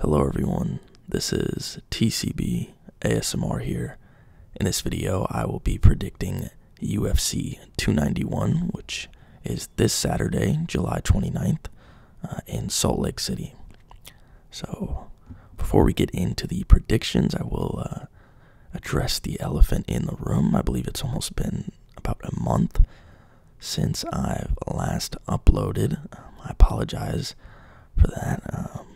Hello everyone, this is TCB ASMR here. In this video, I will be predicting UFC 291, which is this Saturday, July 29th, uh, in Salt Lake City. So, before we get into the predictions, I will uh, address the elephant in the room. I believe it's almost been about a month since I've last uploaded. Um, I apologize for that. Um,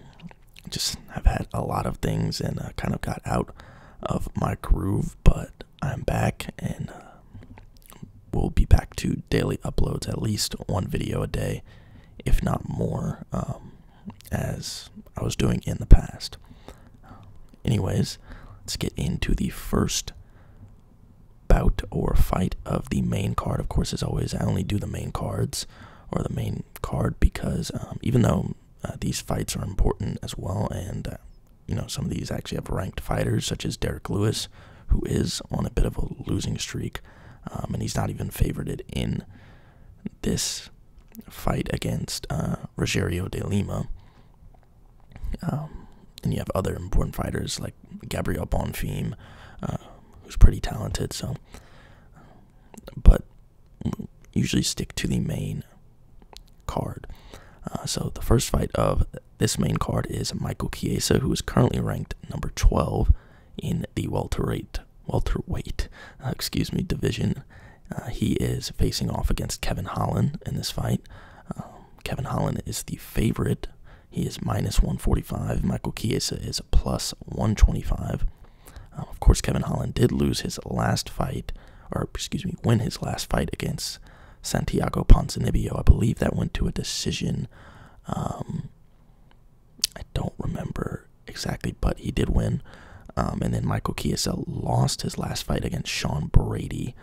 just I've had a lot of things and uh, kind of got out of my groove, but I'm back and uh, we'll be back to daily uploads, at least one video a day, if not more, um, as I was doing in the past. Anyways, let's get into the first bout or fight of the main card. Of course, as always, I only do the main cards or the main card because um, even though uh, these fights are important as well, and uh, you know, some of these actually have ranked fighters, such as Derek Lewis, who is on a bit of a losing streak, um, and he's not even favorited in this fight against uh, Rogerio de Lima. Um, and you have other important fighters like Gabriel Bonfim, um, who's pretty talented. So, but usually stick to the main card. Uh, so the first fight of this main card is Michael Chiesa, who is currently ranked number 12 in the welterweight welterweight uh, excuse me division. Uh, he is facing off against Kevin Holland in this fight. Um, Kevin Holland is the favorite he is minus 145. Michael Chiesa is plus 125. Um, of course, Kevin Holland did lose his last fight, or excuse me, win his last fight against Santiago Ponzinibbio. I believe that went to a decision. Um, I don't remember exactly, but he did win. Um, and then Michael Chiesa lost his last fight against Sean Brady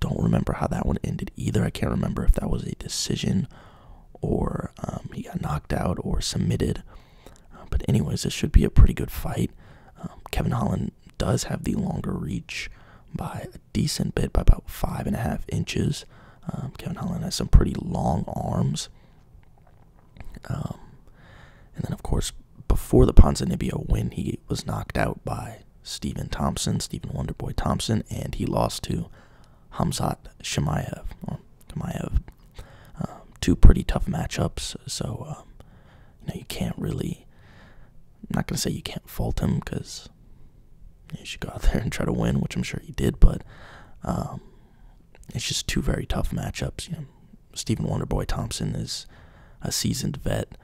don't remember how that one ended either. I can't remember if that was a decision or um, he got knocked out or submitted. Uh, but, anyways, this should be a pretty good fight. Um, Kevin Holland does have the longer reach by a decent bit, by about five and a half inches. Um, Kevin Holland has some pretty long arms. and then, of course, before the Ponzinibbio win, he was knocked out by Stephen Thompson, Stephen Wonderboy Thompson, and he lost to Hamzat Shemaev. Um, two pretty tough matchups, so um, you know you can't really. I'm not gonna say you can't fault him because he should go out there and try to win, which I'm sure he did, but um, it's just two very tough matchups. Stephen Wonderboy Thompson is a seasoned vet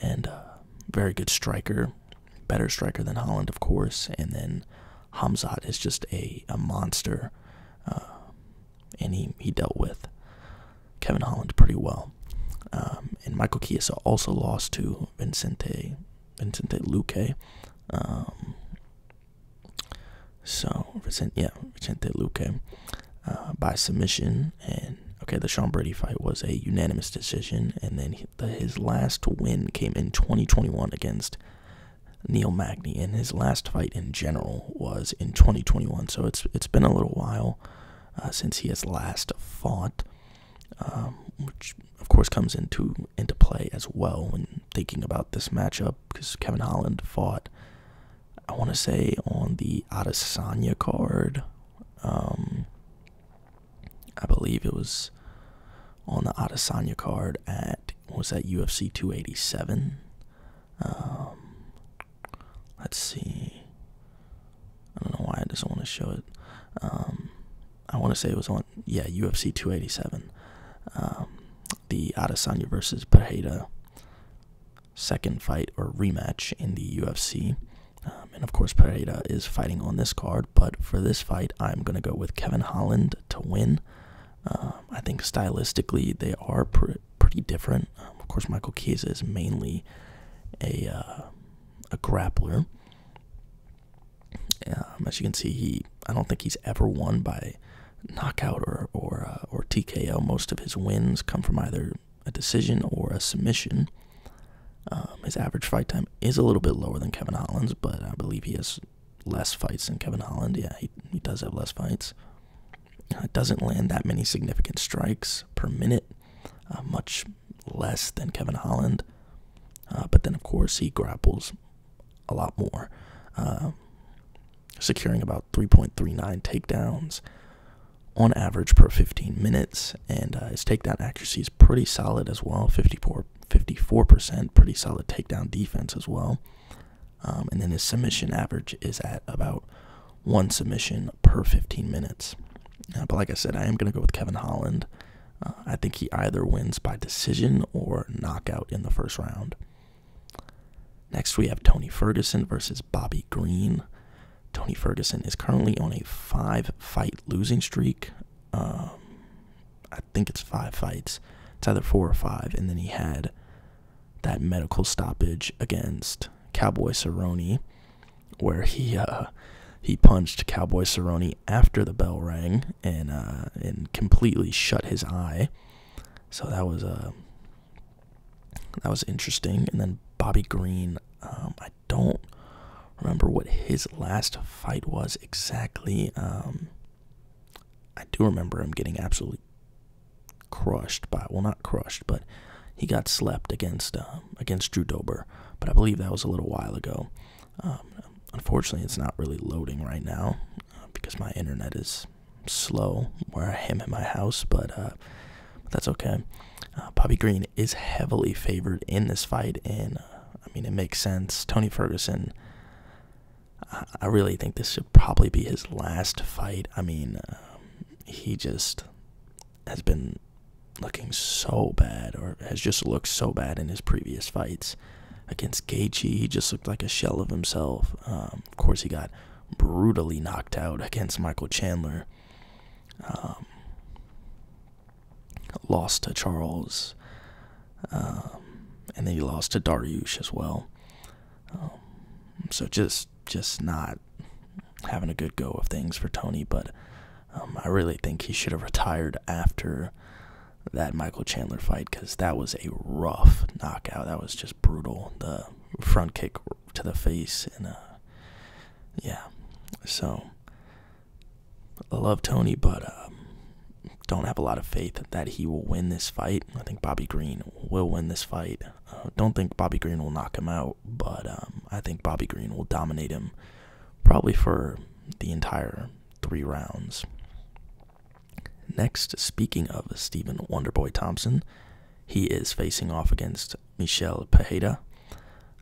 and a very good striker better striker than Holland, of course, and then Hamzat is just a, a monster, uh, and he, he dealt with Kevin Holland pretty well. Um, and Michael Chiesa also lost to Vincente, Vincente Luque. Um, so, Vicente, yeah, Vicente Luque uh, by submission. And, okay, the Sean Brady fight was a unanimous decision, and then that his last win came in 2021 against Neil Magny, and his last fight in general was in 2021. So it's it's been a little while uh, since he has last fought, um, which of course comes into into play as well when thinking about this matchup because Kevin Holland fought. I want to say on the Adesanya card. Um, I believe it was on the Adesanya card at was that UFC 287. Um, let's see. I don't know why I just want to show it. Um, I want to say it was on yeah UFC 287. Um, the Adesanya versus Pereira second fight or rematch in the UFC. Um, and of course, Pereira is fighting on this card, but for this fight, I'm going to go with Kevin Holland to win. Um, I think stylistically, they are pretty different. Um, of course, Michael Chiesa is mainly a, uh, a grappler. as you can see, he I don't think he's ever won by knockout or or uh, or TKO. Most of his wins come from either a decision or a submission. Um, his average fight time is a little bit lower than Kevin Holland's, but I believe he has less fights than Kevin Holland. Yeah, he, does have less fights. Uh, doesn't land that many significant strikes per minute, uh, much less than Kevin Holland. Uh, but then, of course, he grapples a lot more, um, securing about 3.39 takedowns on average per 15 minutes, and uh, his takedown accuracy pretty solid as well 54, percent pretty solid takedown defense as well. Um, and then the submission average is at about one submission per 15 minutes. Uh, but like I said, I am going to go with Kevin Holland. Uh, I think he either wins by decision or knockout in the first round. Next, we have Tony Ferguson versus Bobby Green. Tony Ferguson is currently on a five fight losing streak um, I think it's five fights. It's either four or five, and then he had that medical stoppage against Cowboy Cerrone, where he uh, he punched Cowboy Cerrone after the bell rang and uh, and completely shut his eye. So that was a uh, that was interesting. And then Bobby Green, um, don't remember what his last fight was exactly. Um, I do remember him getting absolutely crushed by well, not crushed, but he got slept against um, against Drew Dober. But I believe that was a little while ago. Um, unfortunately, it's not really loading right now uh, because my internet is slow where I am in my house, uh, but, that's okay. Uh, Bobby Green is heavily favored in this fight, and uh, I mean, it makes sense. Tony Ferguson, I, really think this should probably be his last fight. I mean, um, he just has been looking so bad, or has just looked so bad in his previous fights. Against Gaethje, he just looked like a shell of himself. Um, of course, he got brutally knocked out against Michael Chandler. Um, lost to Charles, um, and then he lost to Dariush as well. Um, so just just not having a good go of things for Tony, but um, I really think he should have retired after that Michael Chandler fight because that was a rough knockout. That was just brutal. The front kick to the face and uh, yeah, so I love Tony, but um, don't have a lot of faith that he will win this fight. I think Bobby Green will win this fight. Uh, don't think Bobby Green will knock him out, but um, I think Bobby Green will dominate him probably for the entire three rounds. Next, speaking of Stephen Wonderboy Thompson, he is facing off against Michelle Pajeda.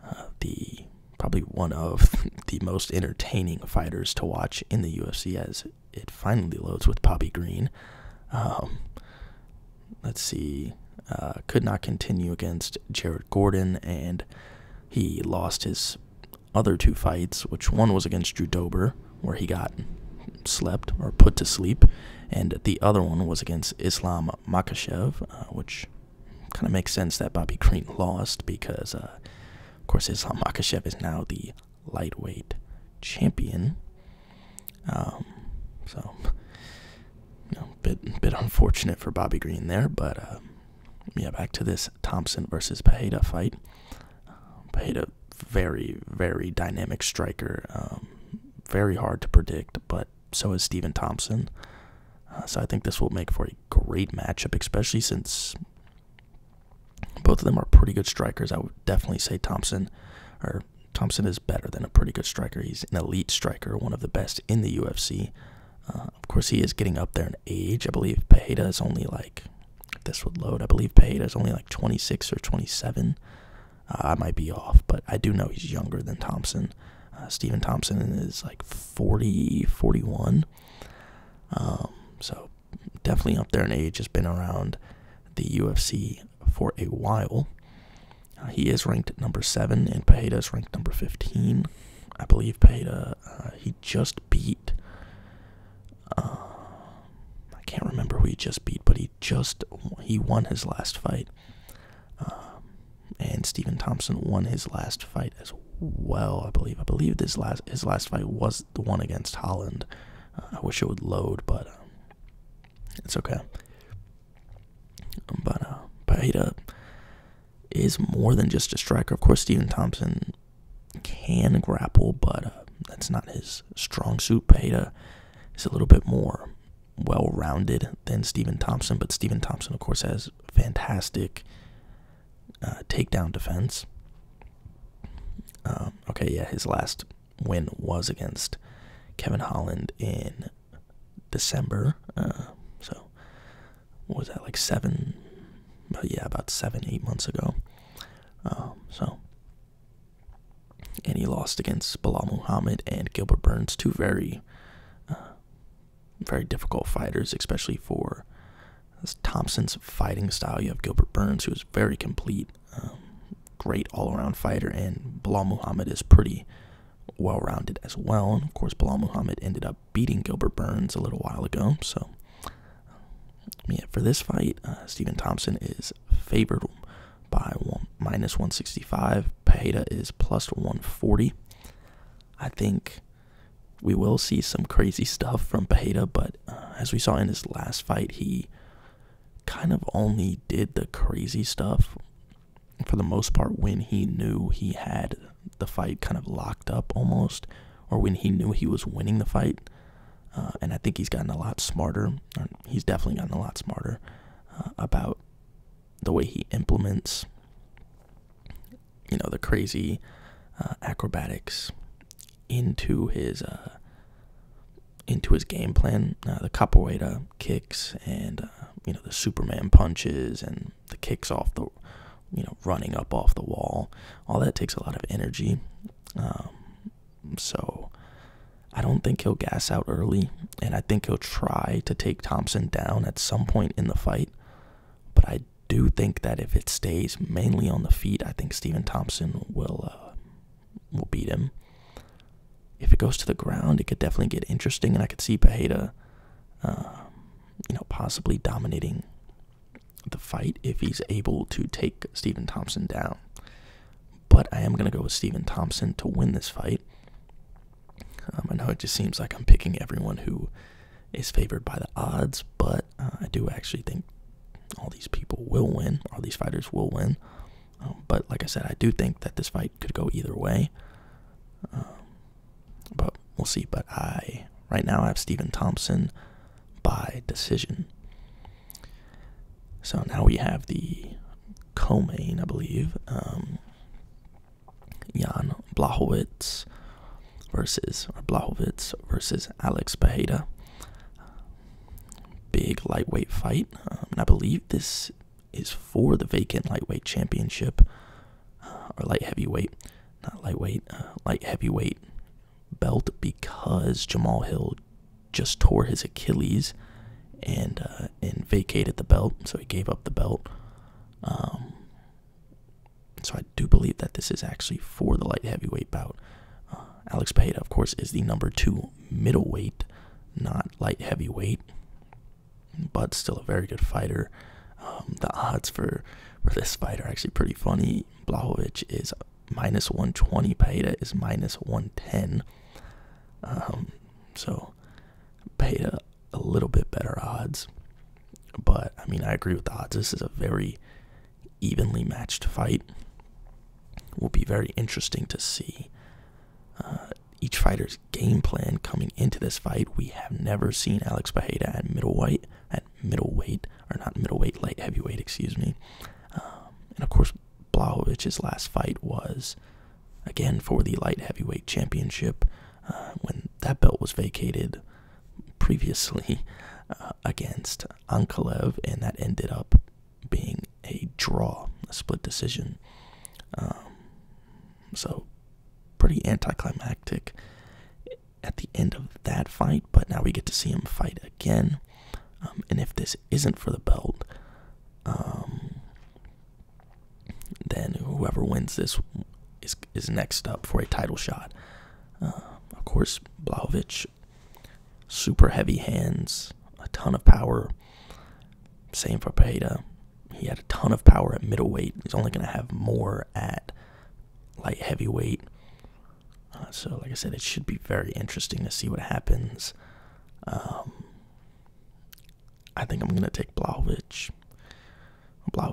Uh, the probably one of the most entertaining fighters to watch in the UFC as it finally loads with Poppy Green. Um, let's see, uh, could not continue against Jared Gordon, and he lost his other two fights, which one was against Drew Dober, where he got slept or put to sleep, and the other one was against Islam Makashev, uh, which kind of makes sense that Bobby Green lost because, uh, of course, Islam Makhachev is now the lightweight champion. Um, so, you know, bit bit unfortunate for Bobby Green there, but uh, yeah, back to this Thompson versus Pajeda fight. Uh, Pajeda, very very dynamic striker, um, very hard to predict, but so is Stephen Thompson. Uh, so I think this will make for a great matchup, especially since both of them are pretty good strikers. I would definitely say Thompson or Thompson is better than a pretty good striker. He's an elite striker, one of the best in the UFC. Uh, of course, he is getting up there in age. I believe Pajeda is only like, this would load, I believe Pajeda is only like 26 or 27. Uh, I might be off, but I do know he's younger than Thompson. Stephen Thompson is like 40, 41. Um, so definitely up there in age, has been around the UFC for a while. Uh, he is ranked number seven, and Pajeda is ranked number 15. I believe Pajeda, uh, he just beat. Uh, I can't remember who he just beat, but he just he won his last fight. Um, and Stephen Thompson won his last fight as well. I believe. I believe this last his last fight was the one against Holland. Uh, I wish it would load, but um, it's okay. But uh, is more than just a striker. Of course, Stephen Thompson can grapple, but uh, that's not his strong suit. Paeta is a little bit more well-rounded than Stephen Thompson, but Stephen Thompson, of course, has fantastic uh, takedown defense. Um, okay, yeah, his last win was against Kevin Holland in December. Uh, so, was that, like seven? yeah, about seven, eight months ago. Um, so, and he lost against Bilal Muhammad and Gilbert Burns, two very uh, very difficult fighters, especially for Thompson's fighting style. You have Gilbert Burns, who is very complete, um, great all-around fighter, and Bilal Muhammad is pretty well-rounded as well. And of course, Bilal Muhammad ended up beating Gilbert Burns a little while ago. So, um, yeah, for this fight, uh, Stephen Thompson is favored by one, minus 165. Pajeda is plus 140. I think we will see some crazy stuff from Pajeda, but uh, as we saw in his last fight, he kind of only did the crazy stuff for the most part when he knew he had the fight kind of locked up almost, or when he knew he was winning the fight. Uh, and I think he's gotten a lot smarter, he's definitely gotten a lot smarter uh, about the way he implements you know, the crazy uh, acrobatics into his uh, into his game plan. Uh, the capoeira kicks and you know the Superman punches and the kicks off the you know running up off the wall. All that takes a lot of energy. Um, so I don't think he'll gas out early, and I think he'll try to take Thompson down at some point in the fight. But I do think that if it stays mainly on the feet, I think Stephen Thompson will uh, will beat him. If it goes to the ground, it could definitely get interesting, and I could see Pajeda, um, you know, possibly dominating the fight if he's able to take Stephen Thompson down. But I am gonna go with Stephen Thompson to win this fight. Um, I know it just seems like I'm picking everyone who is favored by the odds, but uh, I do actually think all these people will win, all these fighters will win. Um, but like I said, I do think that this fight could go either way. Um, but we'll see. But I right now I have Stephen Thompson by decision. So now we have the co-main, I believe. Um, Jan Blachowicz versus or Blachowicz versus Alex Bejeda. Big lightweight fight, um, and I believe this is for the vacant lightweight championship uh, or light heavyweight, not lightweight, uh, light heavyweight belt because Jamal Hill just tore his Achilles and uh, vacated the belt, so he gave up the belt. Um, so I do believe that this is actually for the light heavyweight bout. Uh, Alex Peda, of course, is the number two middleweight, not light heavyweight, but still a very good fighter. Um, the odds for, for this fight are actually pretty funny. Blahovic is minus 120, Peda is minus 110. Um, so Peda a little bit better odds. But I mean, I agree with the odds. This is a very evenly matched fight. Will be very interesting to see uh, each fighter's game plan coming into this fight. We have never seen Alex Pajeda at middleweight, at middleweight, or not middleweight, light heavyweight, excuse me. Um, and of course, Blahovic's last fight was again for the light heavyweight championship. Uh, when that belt was vacated previously uh, against Ankalev, and that ended up being a draw, a split decision. Um, so, pretty anticlimactic at the end of that fight, but now we get to see him fight again. Um, and if this isn't for the belt, um, then whoever wins this is is next up for a title shot. Uh, of course, Blaovic, super heavy hands, a ton of power. Same for Pajeda. He had a ton of power at middleweight. He's only going to have more at light heavyweight. Uh, so, like I said, it should be very interesting to see what happens. Um, I think I'm going to take Blaovic blah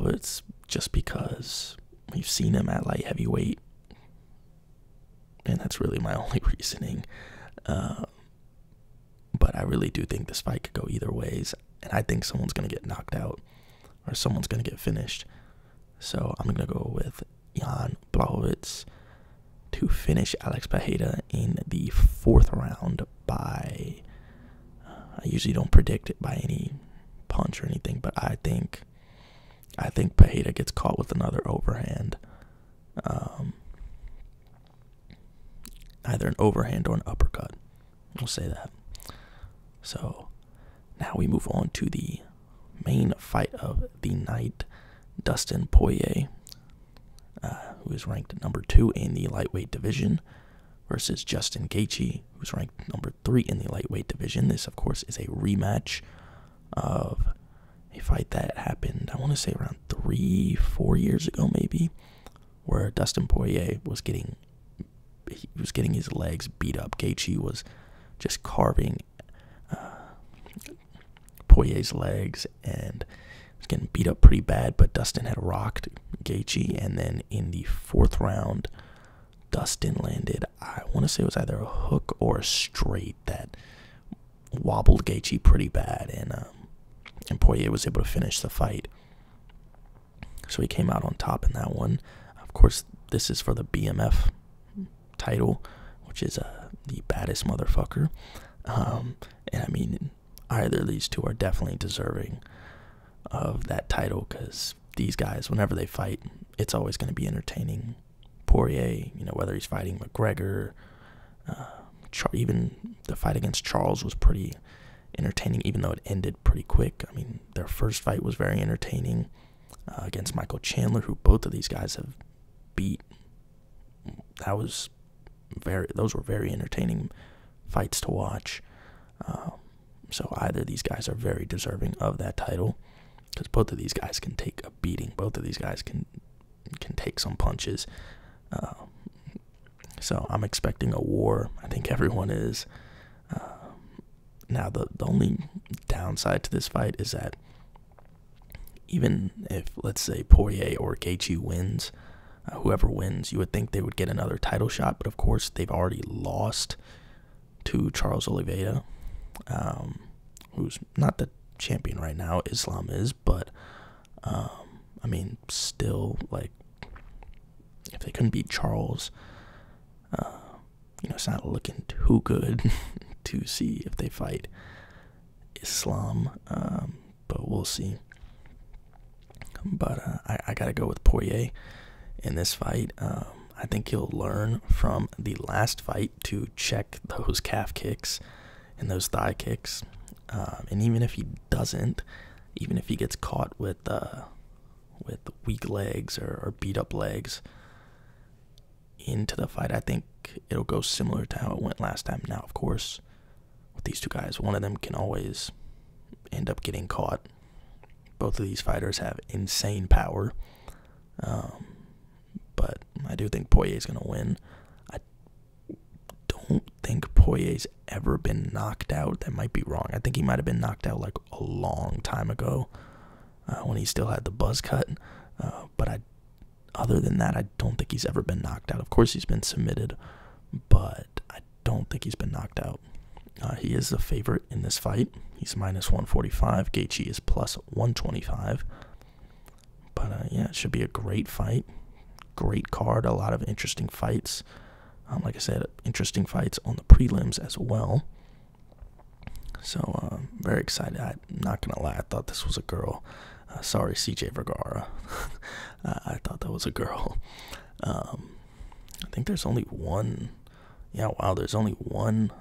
just because we've seen him at light heavyweight and that's really my only reasoning um, but i really do think this fight could go either ways and i think someone's going to get knocked out or someone's going to get finished so i'm going to go with jan blahowitz to finish alex Pajeda in the fourth round by I usually don't predict it by any punch or anything, but I think I think Pajeda gets caught with another overhand. Um, either an overhand or an uppercut. We'll say that. So now we move on to the main fight of the night. Dustin Poirier, uh, who is ranked number two in the lightweight division, versus Justin Gaethje, who's ranked number three in the lightweight division. This, of course, is a rematch of a fight that happened, I want to say, around three, four years ago, maybe, where Dustin Poirier was getting he was getting his legs beat up. Gaethje was just carving uh, Poirier's legs and he was getting beat up pretty bad. But Dustin had rocked Gaethje, and then in the fourth round, Dustin landed, I want to say it was either a hook or a straight that wobbled Gaethje pretty bad, and um, Poirier was able to finish the fight. So he came out on top in that one. Of course, this is for the BMF title, which is uh, the baddest motherfucker. Um, and I mean, either of these two are definitely deserving of that title because these guys, whenever they fight, it's always going to be entertaining. Poirier, you know, whether he's fighting McGregor, uh, even the fight against Charles was pretty entertaining, even though it ended pretty quick. I mean, their first fight was very entertaining uh, against Michael Chandler, who both of these guys have beat. That was very; those were very entertaining fights to watch. Um, so either these guys are very deserving of that title, because both of these guys can take a beating. Both of these guys can can take some punches. Um, so I'm expecting a war. I think everyone is. Um, now the the only downside to this fight is that even if let's say Poirier or Gaethje wins, uh, whoever wins, you would think they would get another title shot, but of course they've already lost to Charles Oliveira, um, who's not the champion right now. Islam is, but um, I mean, still like if they couldn't beat Charles, uh, you know, it's not looking too good to see if they fight Islam. Um, but we'll see. But uh, I, gotta go with Poirier in this fight. I think he will learn from the last fight to check those calf kicks and those thigh kicks. Um, and even if he doesn't, even if he gets caught with uh, with weak legs or beat up legs into the fight, I think it'll go similar to how it went last time. Now, of course, with these two guys, one of them can always end up getting caught both of these fighters have insane power. Um, but I do think Poirier's going to win. I don't think Poirier's ever been knocked out. That might be wrong. I think he might have been knocked out like a long time ago uh, when he still had the buzz cut. Uh, but I, other than that, I don't think he's ever been knocked out. Of course, he's been submitted, but don't think he's been knocked out. Uh, he is the favorite in this fight. He's minus 145. Gaethje is plus 125. But uh, yeah, it should be a great fight. Great card. A lot of interesting fights. Um, like I said, interesting fights on the prelims as well. So uh, very excited. I'm not gonna lie. I thought this was a girl. Uh, sorry, CJ Vergara. I thought that was a girl. Um, I think there's only one yeah, wow, there's only one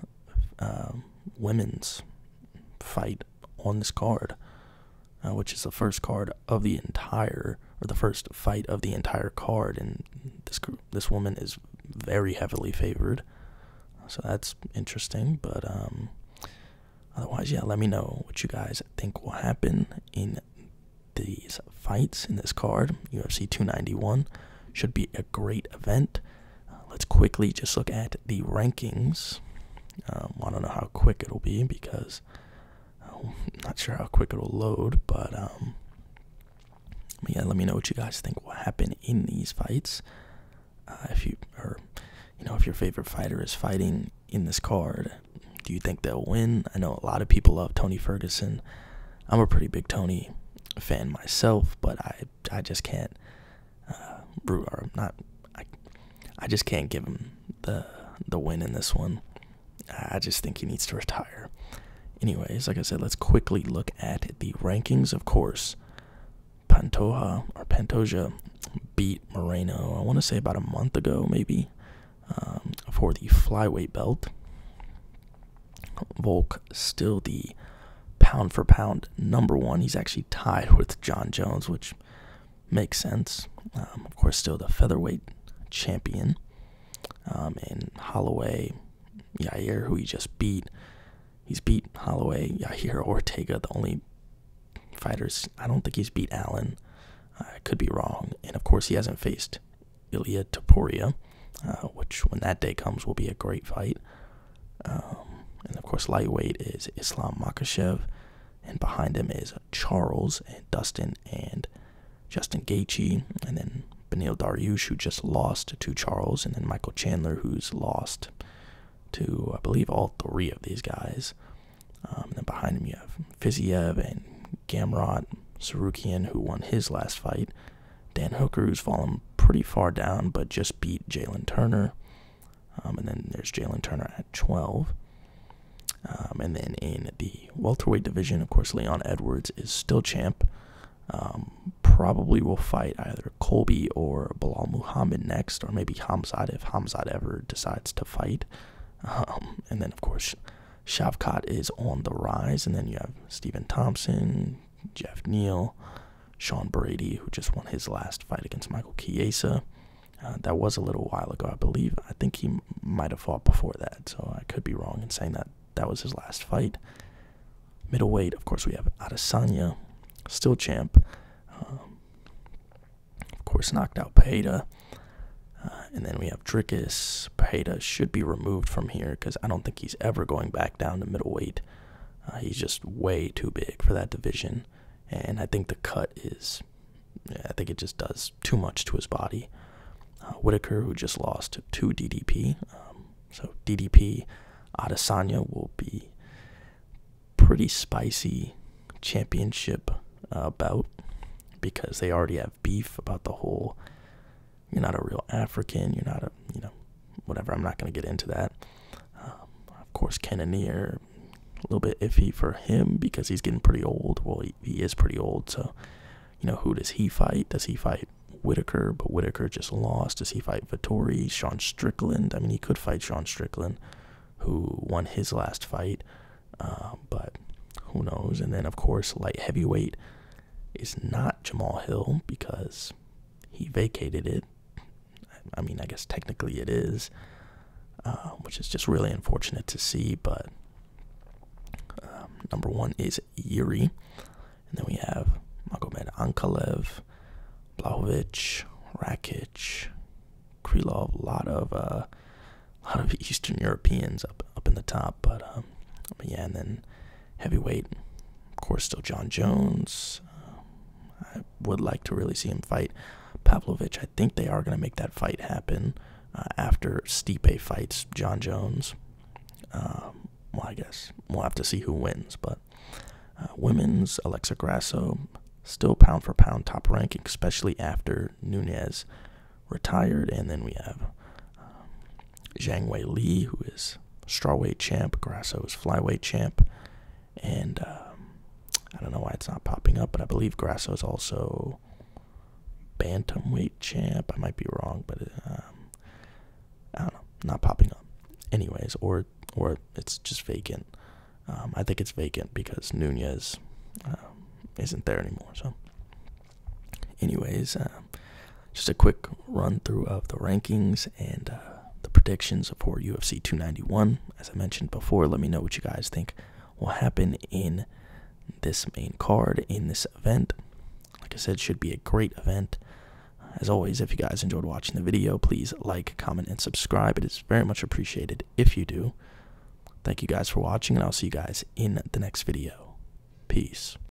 um, women's fight on this card, uh, which is the first card of the entire, or the first fight of the entire card, and this this woman is very heavily favored, so that's interesting. But um, otherwise, yeah, let me know what you guys think will happen in these fights in this card, UFC 291, should be a great event. Uh, let's quickly just look at the rankings. Um, I don't know how quick it'll be because I'm um, not sure how quick it'll load, um, but yeah, let me know what you guys think will happen in these fights. Uh, if you or you know if your favorite fighter is fighting in this card, do you think they'll win? I know a lot of people love Tony Ferguson. I'm a pretty big Tony fan myself, but I I just can't uh, not. I I just can't give him the the win in this one. I just think he needs to retire. Anyways, like I said, let's quickly look at the rankings. Of course, Pantoja or Pantoja beat Moreno. I want to say about a month ago, maybe, um, for the flyweight belt. Volk still the pound for pound number one. He's actually tied with John Jones, which makes sense. Um, of course, still the featherweight champion. and um, Holloway, Yair, who he just beat. He's beat Holloway, Yair, Ortega, the only fighters. I don't think he's beat Allen. I could be wrong. And of course, he hasn't faced Ilya Taporia, uh, which when that day comes will be a great fight. Um, and of course, lightweight is Islam Makashev, and behind him is Charles and Dustin and Justin Gaethje, and then Benil Dariush, who just lost to Charles, and then Michael Chandler, who's lost to I believe all three of these guys. Um, and then behind him you have Fiziev and Gamrot Serukian, who won his last fight. Dan Hooker, who's fallen pretty far down, but just beat Jalen Turner. Um, and then there's Jalen Turner at 12. Um, and then in the welterweight division, of course, Leon Edwards is still champ. Um, probably will fight either Colby or Bilal Muhammad next, or maybe Hamzad if Hamzad ever decides to fight. and then, of course, Shavkat is on the rise, and then you have Stephen Thompson, Jeff Neal, Sean Brady, who just won his last fight against Michael Chiesa. Uh, that was a little while ago, I believe. I think he might have fought before that, so I could be wrong in saying that that was his last fight. Middleweight, of course, we have Adesanya, still champ. Um, of course, knocked out Pajeda. Uh, and then we have Drickus. Pajeda should be removed from here because I don't think he's ever going back down to middleweight. Uh, he's just way too big for that division, and I think the cut is, I think it just does too much to his body. Uh, Whitaker, who just lost to DDP, um, so DDP Adesanya will be pretty spicy championship bout because they already have beef about the whole you're not a real African, you're not a, you know, whatever. I'm not going to get into that. Um, of course, Cannoneer, a little bit iffy for him because he's getting pretty old. Well, he, he is pretty old, so, you know, who does he fight? Does he fight Whitaker? But Whitaker just lost. Does he fight Vittori? Sean Strickland? I mean, he could fight Sean Strickland, who won his last fight, uh, but who knows? And then, of course, light heavyweight is not Jamal Hill because he vacated it. I mean, I guess technically it is, um, which is just really unfortunate to see. But um, number one is Yuri, and then we have Magomed Ankalev, Blahovic, Rakic, Krylov, a lot of uh, a lot of Eastern Europeans up up in the top. but um, yeah, and then heavyweight. Of course, still John Jones. Um, I would like to really see him fight Pavlovich. I think they are going to make that fight happen uh, after Stipe fights John Jones. Um, well, I guess we'll have to see who wins. But uh, women's Alexa Grasso still pound for pound top ranking, especially after Nunez retired, and then we have um, Zhang Wei Li, who is strawweight champ, Grasso is flyweight champ, and um, I don't know why it's not popping up, but I believe Grasso is also bantamweight champ. I might be wrong, but um, I don't know, not popping up. Anyways, or or it's just vacant. Um, I think it's vacant because Nunez isn't there anymore. So anyways, uh, just a quick run through of the rankings and uh, the predictions for UFC 291. As I mentioned before, let me know what you guys think will happen in this main card in this event. Like I said, should be a great event. As always, if you guys enjoyed watching the video, please like, comment, and subscribe. It is very much appreciated if you do. Thank you guys for watching, and I'll see you guys in the next video. Peace.